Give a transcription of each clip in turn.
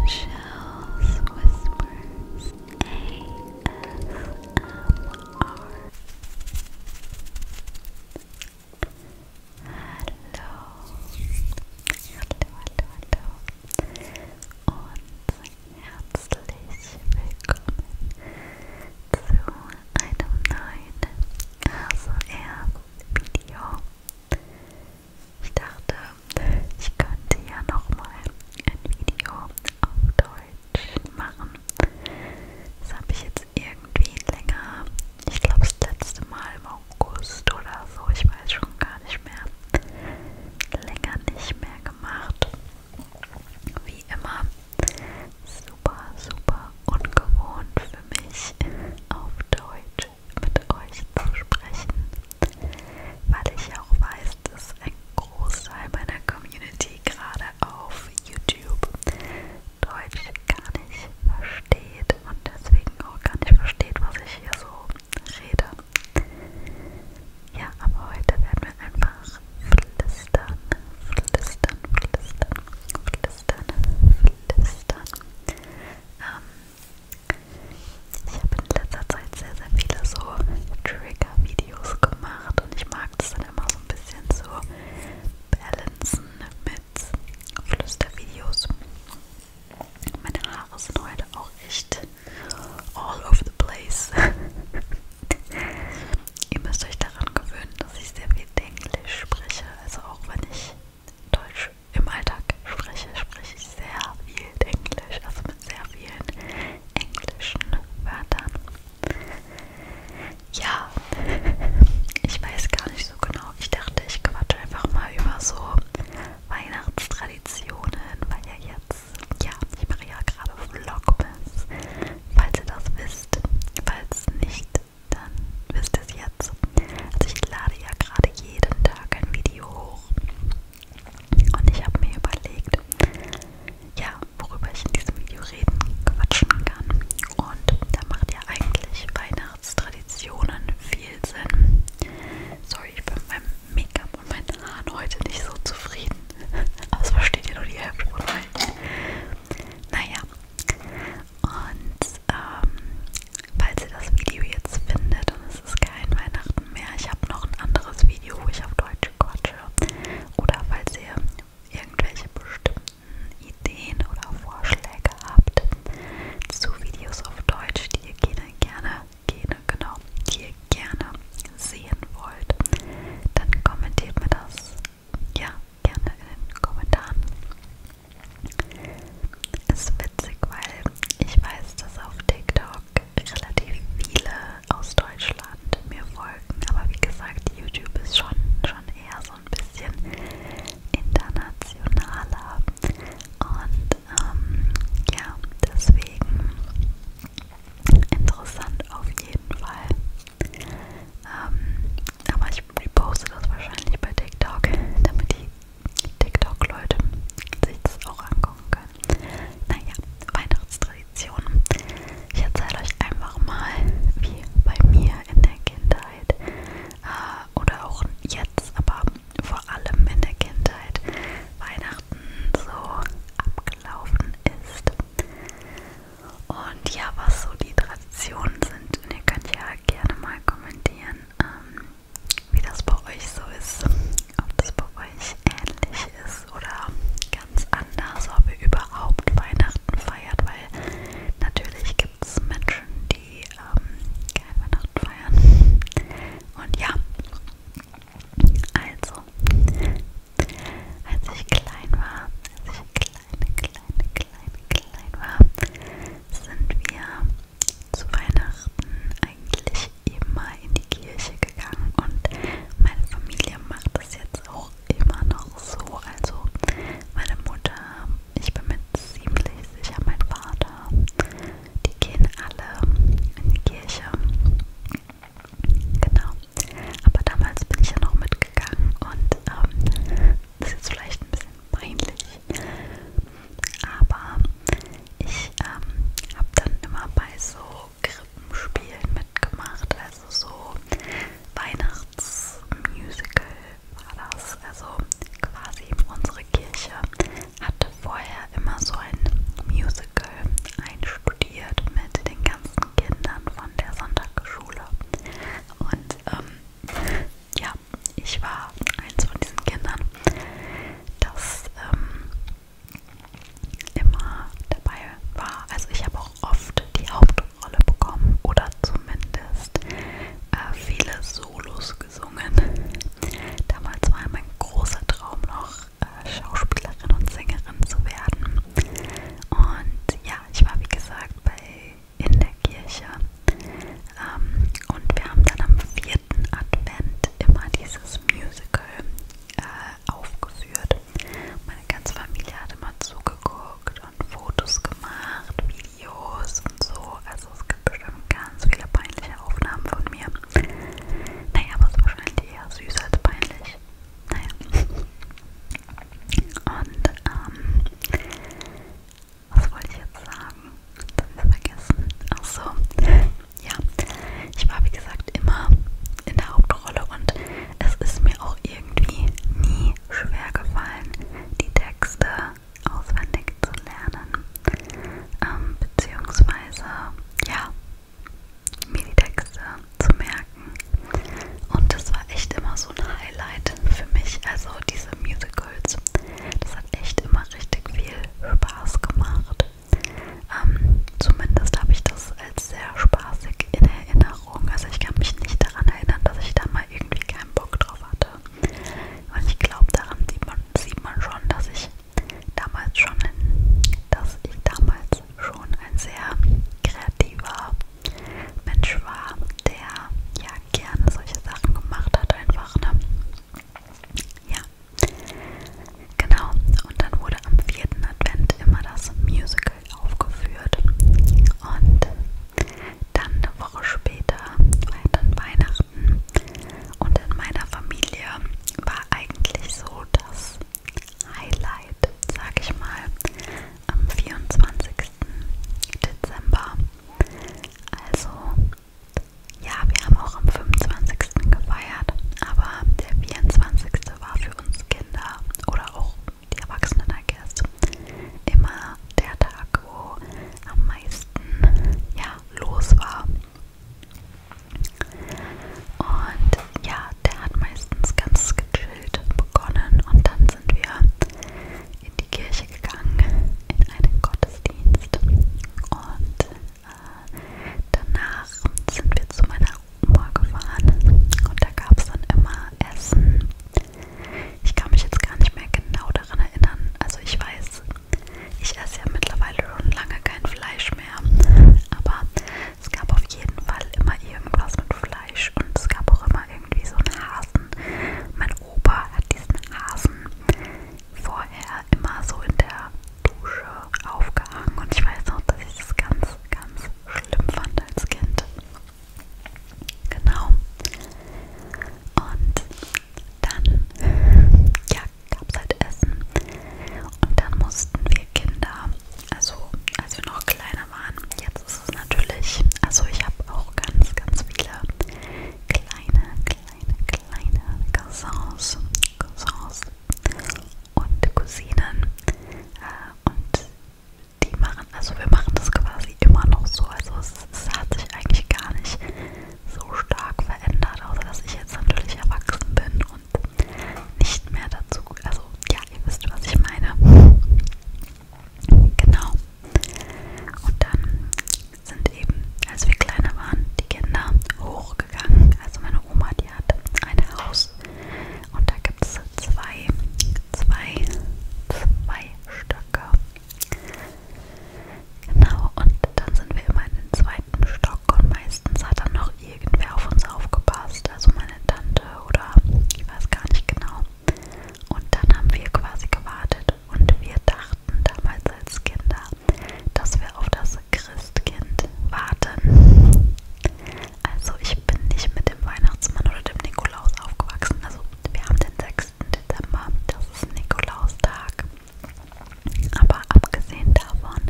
Michelle's Whispers ASMR. Hallo, hallo, hallo, hallo herzlich willkommen zu einem neuen ASMR-Video. Ich dachte, ich könnte ja nochmal ein Video auf Deutsch machen. Das habe ich jetzt irgendwie länger, ich glaube das letzte Mal im August oder so, ich weiß schon gar nicht mehr, länger nicht mehr gemacht. Wie immer, super, super ungewohnt für mich auf Deutsch mit euch zu sprechen, weil ich auch weiß, dass ein Großteil meiner Community gerade auf YouTube Deutsch gar nicht versteht und deswegen auch gar nicht versteht, was ich hier so rede. Ja, aber heute werden wir einfach flüstern, flüstern, flüstern, flüstern, flüstern. Ähm, ich habe in letzter Zeit sehr, sehr viele so Trigger-Videos gemacht und ich mag das dann immer so ein bisschen so balancen mit Flüstervideos. Meine Haare sind heute auch echt all over the place. Ihr müsst euch daran gewöhnen, dass ich sehr viel Englisch spreche, also auch wenn ich Deutsch im Alltag spreche, spreche ich sehr viel Englisch, also mit sehr vielen englischen Wörtern. Ja, ich weiß gar nicht so genau. Ich dachte, ich quatsche einfach mal über so Weihnachtstraditionen, weil ja jetzt, ja, ich mache ja gerade Vlogmas, falls ihr das wisst. Falls nicht, dann wisst ihr es jetzt. Also ich lade ja gerade jeden Tag ein Video hoch. Und ich habe mir überlegt, ja, worüber ich in diesem Video reden, quatschen kann. Und da macht ja eigentlich Weihnachtstraditionen viel Sinn. Sorry, ich bin mit meinem Make-up und meinen Haaren heute nicht so zufrieden. Aber es versteht ihr nur die Hälfte von euch. Naja. Und ist, ähm, falls ihr das Video jetzt findet und es ist kein Weihnachten mehr, ich habe noch ein anderes Video, wo ich auf Deutsch quatsche. Oder falls ihr irgendwelche bestimmten Ideen oder Vorschläge habt zu Videos auf Deutsch, die ihr gerne, gerne, gerne, genau, die ihr gerne sehen wollt, dann kommentiert mir das. Ja, gerne in den Kommentaren. Ist witzig, weil ich weiß, dass auf TikTok relativ viele aus Deutschland mir folgen, aber wie gesagt, YouTube ist schon, schon eher so ein bisschen internationaler und ähm, ja, deswegen interessant auf jeden Fall. Ähm, aber ich reposte das wahrscheinlich bei TikTok, damit die TikTok-Leute sich das auch angucken können. Naja, Weihnachtstraditionen. Ich erzähle euch einfach mal, wie bei mir in der Kindheit äh, oder auch jetzt, aber vor allem in der Kindheit Weihnachten so abgelaufen ist. Und ja, was so die Traditionen sind, ne, könnt ihr gerne mal kommentieren, ähm, wie das bei euch so ist. Ob das bei euch ähnlich ist oder ganz anders, ob ihr überhaupt Weihnachten feiert, weil natürlich gibt es Menschen, die ähm, kein Weihnachten feiern. Und ja, also, als ich klein war, als ich klein kleine, kleine, kleine, klein war, sind wir zu Weihnachten eigentlich immer in die Kirche gegangen und meine Familie macht das jetzt auch immer noch so. Also meine Mutter, ich bin mir ziemlich sicher, mein Vater, die gehen alle in die Kirche. Genau. Aber damals bin ich ja noch mitgegangen und ähm, das ist jetzt vielleicht ein bisschen peinlich. Aber ich ähm, habe dann immer bei so Krippenspielen mitgemacht. Also so Weihnachtsmusical war das. Also quasi unsere Kirche hatte vorher immer so ein Musical einstudiert mit den ganzen Kindern von der Sonntagsschule. Und ähm, ja, ich war eins von diesen Kindern, das ähm, immer dabei war. Also ich habe auch oft die Hauptrolle bekommen oder zumindest äh, viele Solos gesungen. Damals war mein großer Traum noch, äh, Schauspielerin und Sängerin zu werden. Und ja, ich war wie gesagt bei in der Kirche. Ähm, und wir haben dann am vierten Advent immer dieses Musical äh, aufgeführt. Meine ganze Familie hat immer zugeguckt und Fotos gemacht, Videos und so. Also es gibt bestimmt ganz viele peinliche Aufnahmen von mir. Naja, aber es ist wahrscheinlich eher süß als peinlich. Naja. Und ähm, was wollte ich jetzt sagen? Jetzt habe ich vergessen. Ach so. Ja, ich war wie gesagt immer in der Hauptrolle und es ist mir auch irgendwie nie schwer gefallen, die Texte auswendig zu lernen. Ähm, beziehungsweise, ja, mir die Texte zu merken. Und das war echt immer so ein Highlight für mich, also diese Musicals. Das hat echt immer richtig viel Spaß gemacht. Ähm, zumindest habe ich das als sehr spaßig in Erinnerung. Also ich kann mich nicht daran erinnern, dass ich da mal irgendwie keinen Bock drauf hatte. Und ich glaube, daran sieht man, sieht man schon, dass ich damals schon, in, dass ich damals schon ein sehr kreativer Mensch war, der ja gerne solche Sachen gemacht hat, einfach, ne? Ja. Genau, und dann wurde am vierten Advent immer das Musical aufgeführt. Und dann eine Woche später war halt dann Weihnachten. Und in meiner Familie war eigentlich so, dass Highlight, sag ich mal, am 24. Dezember. Also, ja, wir haben auch am 25. gefeiert, aber der 24. war für uns Kinder oder auch die Erwachsenen, I guess, immer der Tag, wo am meisten ja, los war. Und ja, der hat meistens ganz gechillt begonnen und dann sind wir in die Kirche gegangen, in einen Gottesdienst und äh, danach sind wir zu meiner Oma gefahren und da gab es dann immer Essen. Ich kann mich jetzt gar nicht mehr genau daran erinnern, also ich weiß, ich esse ja mittlerweile schon lange kein Fleisch mehr, aber es gab auf jeden Fall immer irgendwas mit Fleisch und es gab auch immer irgendwie so einen Hasen. Mein Opa hat diesen Hasen vorher immer so in der Dusche aufgehangen und ich weiß noch, dass ich das ganz, ganz schlimm fand als Kind. Genau. Und dann ja, gab es halt Essen und dann mussten wir Kinder also als wir noch kleiner waren. Jetzt ist es natürlich, also ich habe auch ganz, ganz viele kleine, kleine, kleine Cousins, Cousins und Cousinen äh, und die machen, also wir machen das quasi immer noch so, also es, es hat sich eigentlich gar nicht so stark verändert, außer dass ich jetzt natürlich erwachsen bin und nicht mehr dazu. Also ja, ihr wisst, was ich meine. Genau. Und dann sind eben, als wir kleiner waren, die Kinder hochgegangen. Also meine Oma, die hat ein Haus und da gibt es zwei, zwei, zwei Stöcke. Genau, und dann sind wir immer in den zweiten Treppenstock und meistens hat dann noch irgendwer auf uns aufgepasst, also meine Tante oder ich weiß gar nicht genau. Und dann haben wir quasi gewartet und wir dachten damals als Kinder, dass wir auf das Christkind warten. Also ich bin nicht mit dem Weihnachtsmann oder dem Nikolaus aufgewachsen. Also wir haben den 6. Dezember, das ist Nikolaustag. Aber abgesehen davon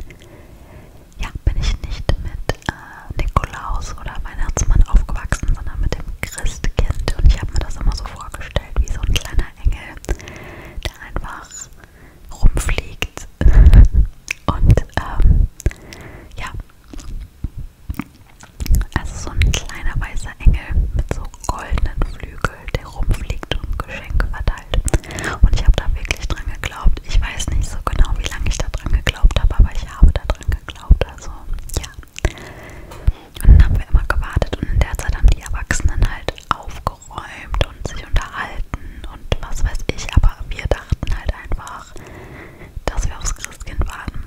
ja, bin ich nicht mit äh, Nikolaus oder Weihnachtsmann aufgewachsen, sondern mit dem Christkind. Und ich habe mir das immer so vorgestellt, wie so ein kleiner Engel, der einfach rumfliegt. Und ähm, ja, also so ein kleiner weißer Engel mit so goldenen Flügeln, der rumfliegt und Geschenke verteilt bald. Und ich habe da wirklich dran geglaubt. Ich weiß nicht so genau, wie lange ich da dran geglaubt habe, aber ich habe da dran geglaubt. Also ja. Und dann haben wir immer gewartet und in der Zeit haben die Erwachsenen halt aufgeräumt und sich unterhalten und was weiß ich. Aber wir dachten halt einfach, dass wir aufs Christkind warten.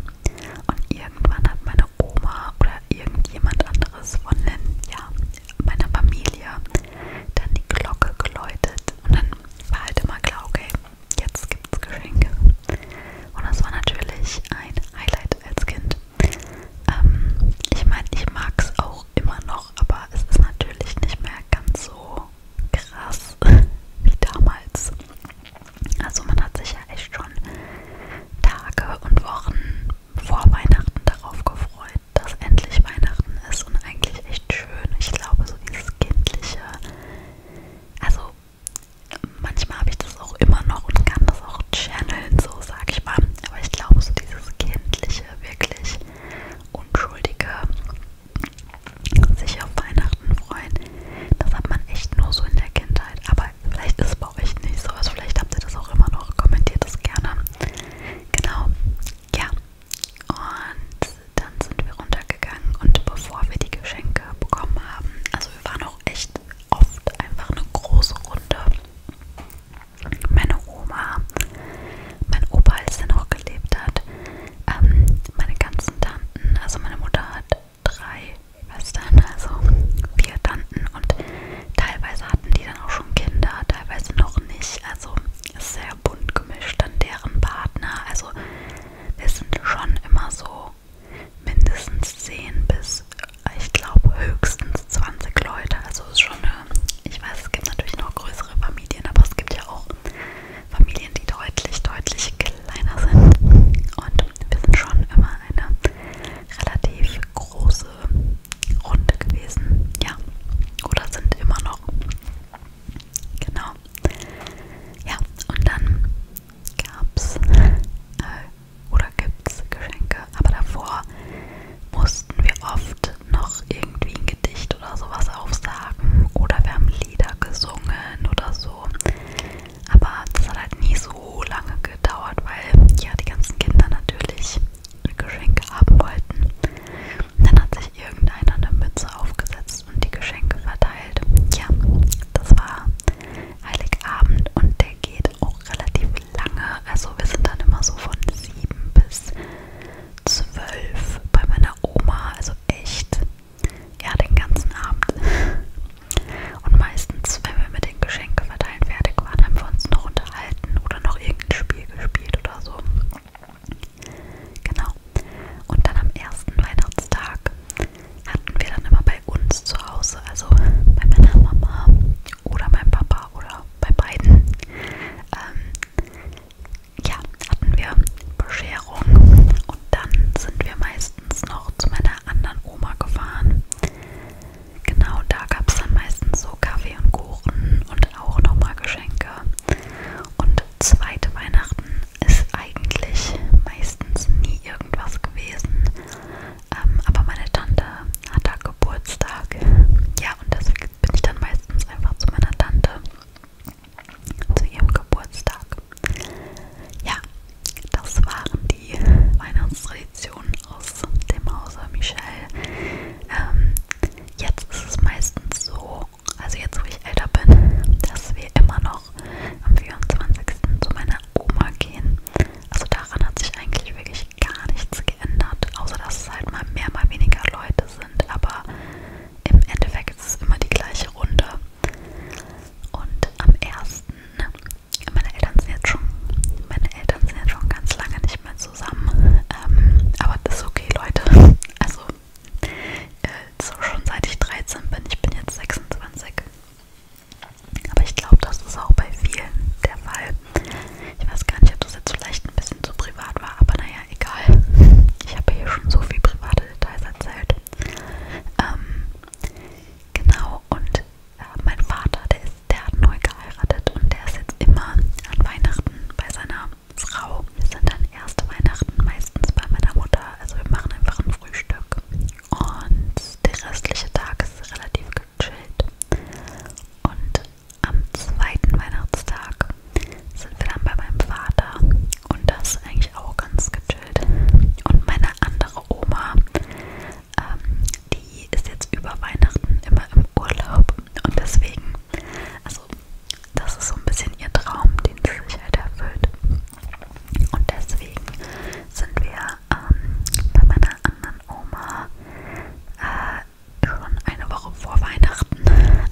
Und irgendwann hat meine Oma oder irgendjemand anderes von den ja, meiner Familie dann die Glocke geläutet und dann war halt immer klar, okay, jetzt gibt's Geschenke. Und das war natürlich ein Highlight als Kind. Ähm, ich meine, ich mag's auch immer noch, aber es ist natürlich nicht mehr ganz so krass wie damals. Also man hat sich ja echt schon Tage und Wochen vor Weihnachten darauf gefreut dass endlich Weihnachten ist und eigentlich echt schön. Ich glaube, so dieses kindliche. Also, manchmal habe ich das auch immer noch und kann das auch channeln, so sag ich mal. Aber ich glaube, so dieses kindliche, wirklich unschuldige, sich auf Weihnachten freuen, das hat man echt nur so in der Kindheit. Aber vielleicht ist es bei euch nicht so. Also, vielleicht habt ihr das auch immer noch. Kommentiert es gerne. Genau, ja, und dann sind wir runtergegangen und bevor wir die Geschenke bekommen haben, also wir waren auch echt oft einfach eine große Runde. Meine Oma, mein Opa, als er noch gelebt hat, ähm, meine ganzen Tanten, also meine Mutter hat drei Schwestern, also vier Tanten und Teilweise hatten die dann auch schon Kinder, teilweise noch nicht. Also ist sehr bunt gemischt an deren Partner. Also wir sind schon immer so mindestens 10 bis, ich glaube, höchstens 20 Leute. Also ist schon eine, ich weiß, es gibt natürlich noch größere Familien, aber es gibt ja auch Familien, die deutlich, deutlich kleiner sind. Und wir sind schon immer eine relativ große Runde gewesen, ja, oder sind immer noch. Genau. Ja, und dann gab's äh, oder gibt's Geschenke, aber davor mussten wir oft noch irgendwie ein Gedicht oder sowas aufsagen oder wir haben Lieder gesungen oder so. Aber das hat halt nie so lange gedauert, weil ja die ganzen Kinder natürlich Geschenke haben wollten. Dann hat sich irgendeiner eine Mütze aufgesetzt und die Geschenke verteilt. Ja, das war Heiligabend und der geht auch relativ lange. Also wir sind dann immer so von 7 bis 12 bei meiner Oma. Also echt, ja, den ganzen Abend. Und meistens, wenn wir mit den Geschenken verteilen fertig waren, haben wir uns noch ein unterhalten oder noch irgendein Spiel gespielt oder so. Genau. Und dann am ersten Weihnachtstag hatten wir dann immer bei uns zu Hause, also bei meiner Mama oder meinem Papa oder bei beiden, ähm, ja, hatten wir Bescherung und dann sind wir meistens noch zu meiner anderen Oma gefahren genau da gab es dann meistens so Kaffee und Kuchen und auch nochmal Geschenke. Und zweite Weihnachten ist eigentlich meistens nie irgendwas gewesen. Ähm, aber meine Tante hat da Geburtstag. Ja, und deswegen bin ich dann meistens einfach zu meiner Tante zu ihrem Geburtstag. Ja, das waren die Weihnachtstraditionen aus dem Hause Michel. Ähm, jetzt ist es meistens so, also jetzt wo ich älter bin, dass wir immer noch am 24. zu meiner Oma gehen. Also daran hat sich eigentlich wirklich gar nichts geändert, außer dass es halt mal mehr, mal weniger Leute sind. Aber im Endeffekt ist es immer die gleiche Runde. Und am 1. Meine Eltern sind jetzt schon, meine Eltern sind jetzt schon ganz lange nicht mehr zusammen. Ähm, aber das ist okay, Leute. Also äh, so schon seit ich 13 bin, ich bin jetzt 26. Aber ich glaube, das ist auch bei vielen der Fall. Ich weiß gar nicht, ob das jetzt vielleicht ein bisschen zu privat war, aber naja, egal. Ich habe hier schon so viel private Details erzählt. Ähm, Genau, und äh, mein Vater, der, ist, der hat neu geheiratet und der ist jetzt immer an Weihnachten bei seiner Frau. Wir sind dann erste Weihnachten meistens bei meiner Mutter, also wir machen einfach ein Frühstück. Und der restliche Tag ist relativ gechillt. Und am zweiten Weihnachtstag sind wir dann bei meinem Vater und das ist eigentlich auch ganz gechillt. Und meine andere Oma ähm, die ist jetzt über Weihnachten immer im Urlaub und deswegen, also das ist so ein bisschen ihr Traum, den sie sich halt erfüllt. Und deswegen sind wir ähm, bei meiner anderen Oma äh, schon eine Woche vor Weihnachten.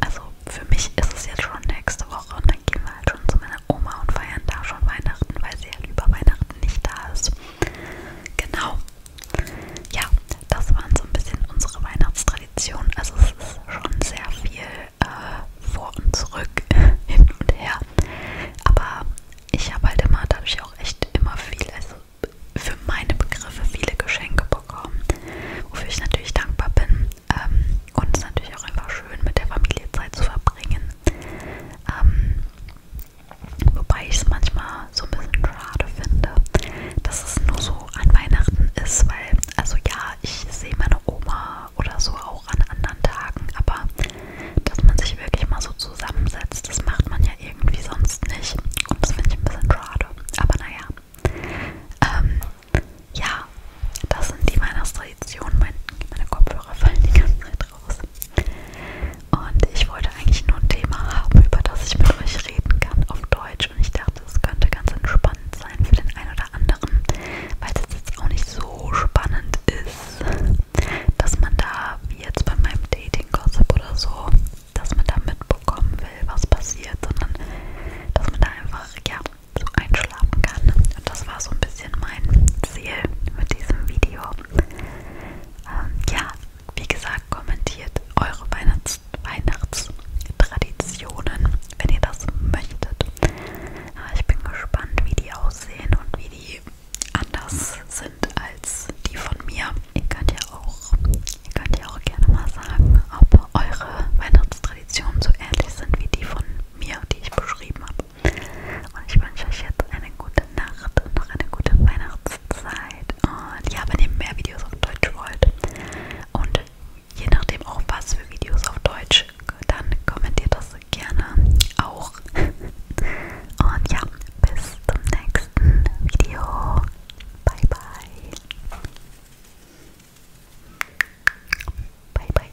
Also für mich ist es jetzt schon nächste Woche und dann gehen wir halt schon zu meiner Oma und feiern da schon Weihnachten, weil sie halt über Weihnachten nicht da ist. Genau. Ja, das waren so ein bisschen unsere Weihnachtstraditionen. Also es ist schon sehr viel äh, vor und zurück, hin und her. Aber ich habe halt immer dadurch auch echt immer viel, also für meine Begriffe viele Geschenke bekommen, wofür ich natürlich dankbar bin. Ähm, und es ist natürlich auch einfach schön, mit der Familie Zeit zu verbringen. Ähm, Wobei ich es manchmal so ein bisschen schade finde, dass es nur so an Weihnachten ist, weil, also ja, ich sehe meine Oma oder so auch an anderen Tagen, aber dass man sich wirklich mal so zusammensetzt, das macht man ja irgendwie sonst nicht. Und das finde ich ein bisschen schade. Aber naja. Ähm, ja, das sind die Weihnachtstraditionen. Meine, meine Kopfhörer fallen die ganze Zeit draus. Und ich wollte eigentlich nur ein Thema haben, über das ich mit euch reden kann auf Deutsch. Und ich dachte, es könnte ganz entspannend sein für den einen oder anderen, weil es jetzt auch nicht so spannend ist, dass man da, wie jetzt bei meinem Dating-Gossip oder so, dass man da mitbekommen will, was passiert, sondern dass man da einfach, ja, so ein schlafen kann. Und das war so ein bisschen mein Ziel mit diesem Video. Ähm, ja, wie gesagt, kommentiert eure Weihnachts Weihnachtstraditionen, wenn ihr das möchtet. Äh, ich bin gespannt, wie die aussehen und wie die anders sind als die von mir. Ihr könnt ja auch, ihr könnt ja auch gerne mal sagen, ob eure Weihnachtstraditionen so ähnlich sind wie die von mir, die ich beschrieben habe. Und ich wünsche euch jetzt eine gute Nacht und noch eine gute Weihnachtszeit. Und ja, wenn ihr mehr Videos auf Deutsch wollt und je nachdem auch was für Videos auf Deutsch, dann kommentiert das gerne auch. Und ja, bis zum nächsten Video. Bye bye. Bye bye.